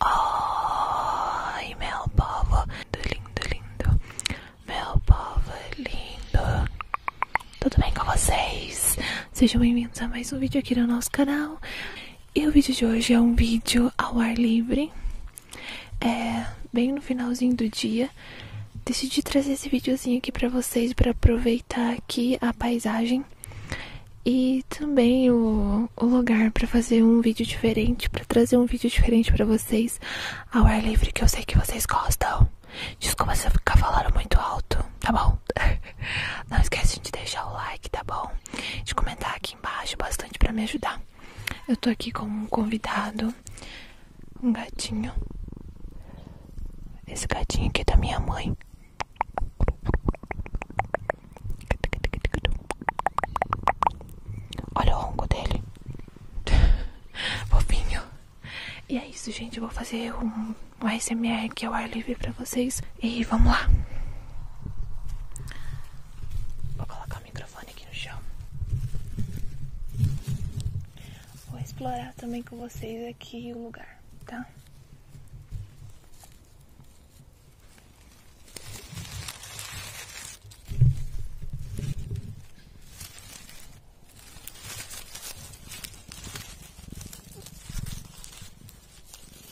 Ai, meu povo lindo, lindo, meu povo é lindo, tudo bem com vocês? Sejam bem-vindos a mais um vídeo aqui no nosso canal. E o vídeo de hoje é um vídeo ao ar livre, é, bem no finalzinho do dia, decidi trazer esse videozinho aqui para vocês para aproveitar aqui a paisagem e também o, lugar para fazer um vídeo diferente, para trazer um vídeo diferente para vocês ao ar livre que eu sei que vocês gostam. Desculpa se eu ficar falando muito alto, tá bom? Não esquece de deixar o like, tá bom? De comentar aqui embaixo bastante para me ajudar. Eu tô aqui com um convidado, um gatinho. Esse gatinho aqui é da minha mãe. Olha o ronco dele. Fofinho. E é isso, gente. vou fazer um, um ASMR que é o ar livre pra vocês. E vamos lá. Vou colocar microfone aqui no chão. Vou explorar também com vocês aqui o lugar, tá?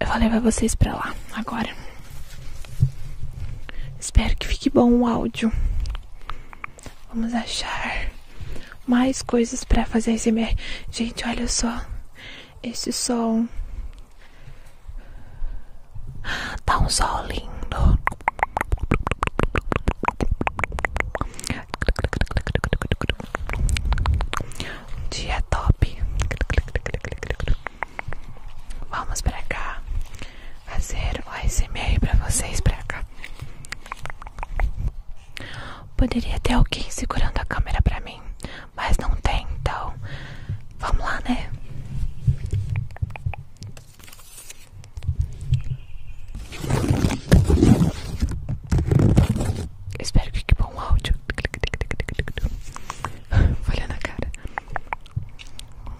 Eu vou levar vocês pra lá agora. Espero que fique bom o áudio. Vamos achar mais coisas para fazer esse Gente, olha só esse som. Tá um sol lindo. Dia top. Vamos pra cá fazer o SMR pra vocês pra cá. Poderia ter alguém segurando a câmera pra mim. Mas não tem, então vamos lá, né? Espero que fique bom áudio. Olha na cara.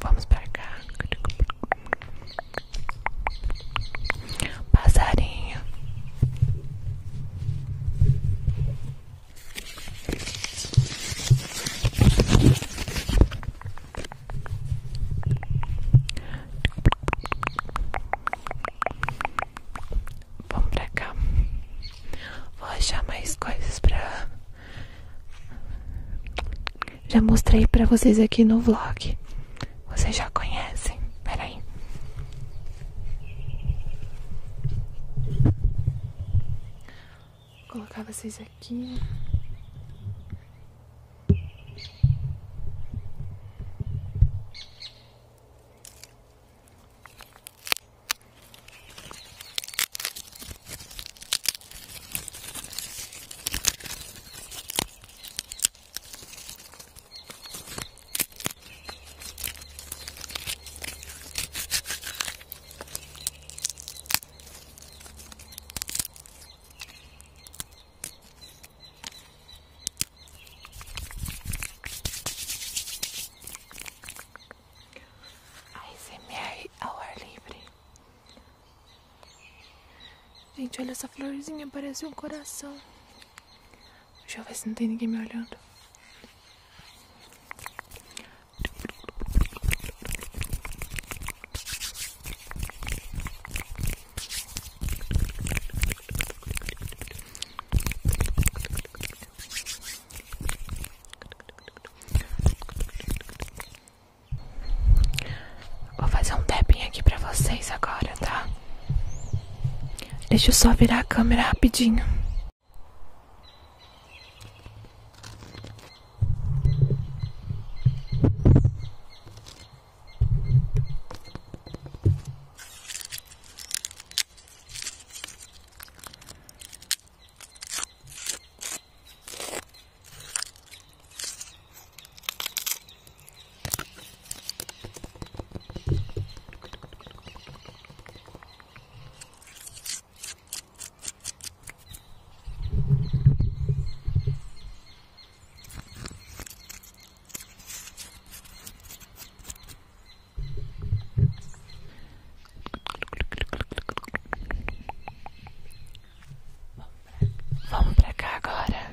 Vamos para cá. Passarinho. Vamos pra cá. Vou achar mais coisas pra. Já mostrei pra vocês aqui no vlog. Vocês já conhecem. Peraí. Vou colocar vocês aqui ai ASMR ao ar livre. Gente, olha essa florzinha, parece um coração. Deixa eu ver se não tem ninguém me olhando. Vou fazer um tapping aqui para vocês agora, tá? Deixa eu só virar a câmera rapidinho. Vamos pra cá agora.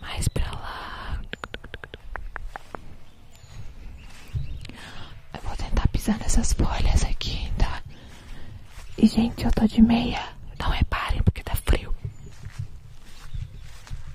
Mais pra lá. Eu vou tentar pisar nessas folhas aqui, tá? E gente, eu tô de meia. Não reparem porque tá frio.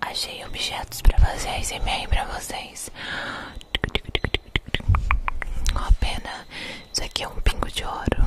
Achei objetos para fazer ASMR para vocês. Uma pena, isso aqui é um pingo de ouro.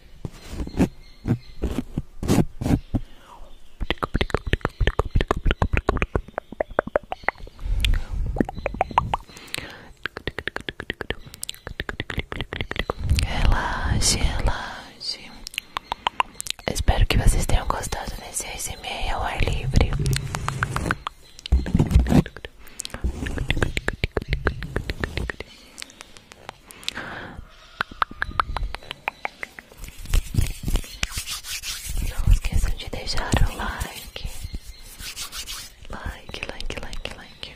Relaxe, relaxe. Espero que vocês tenham gostado desse ASMR ao ar livre. Não esqueçam de deixar o like. Like, like, like, like.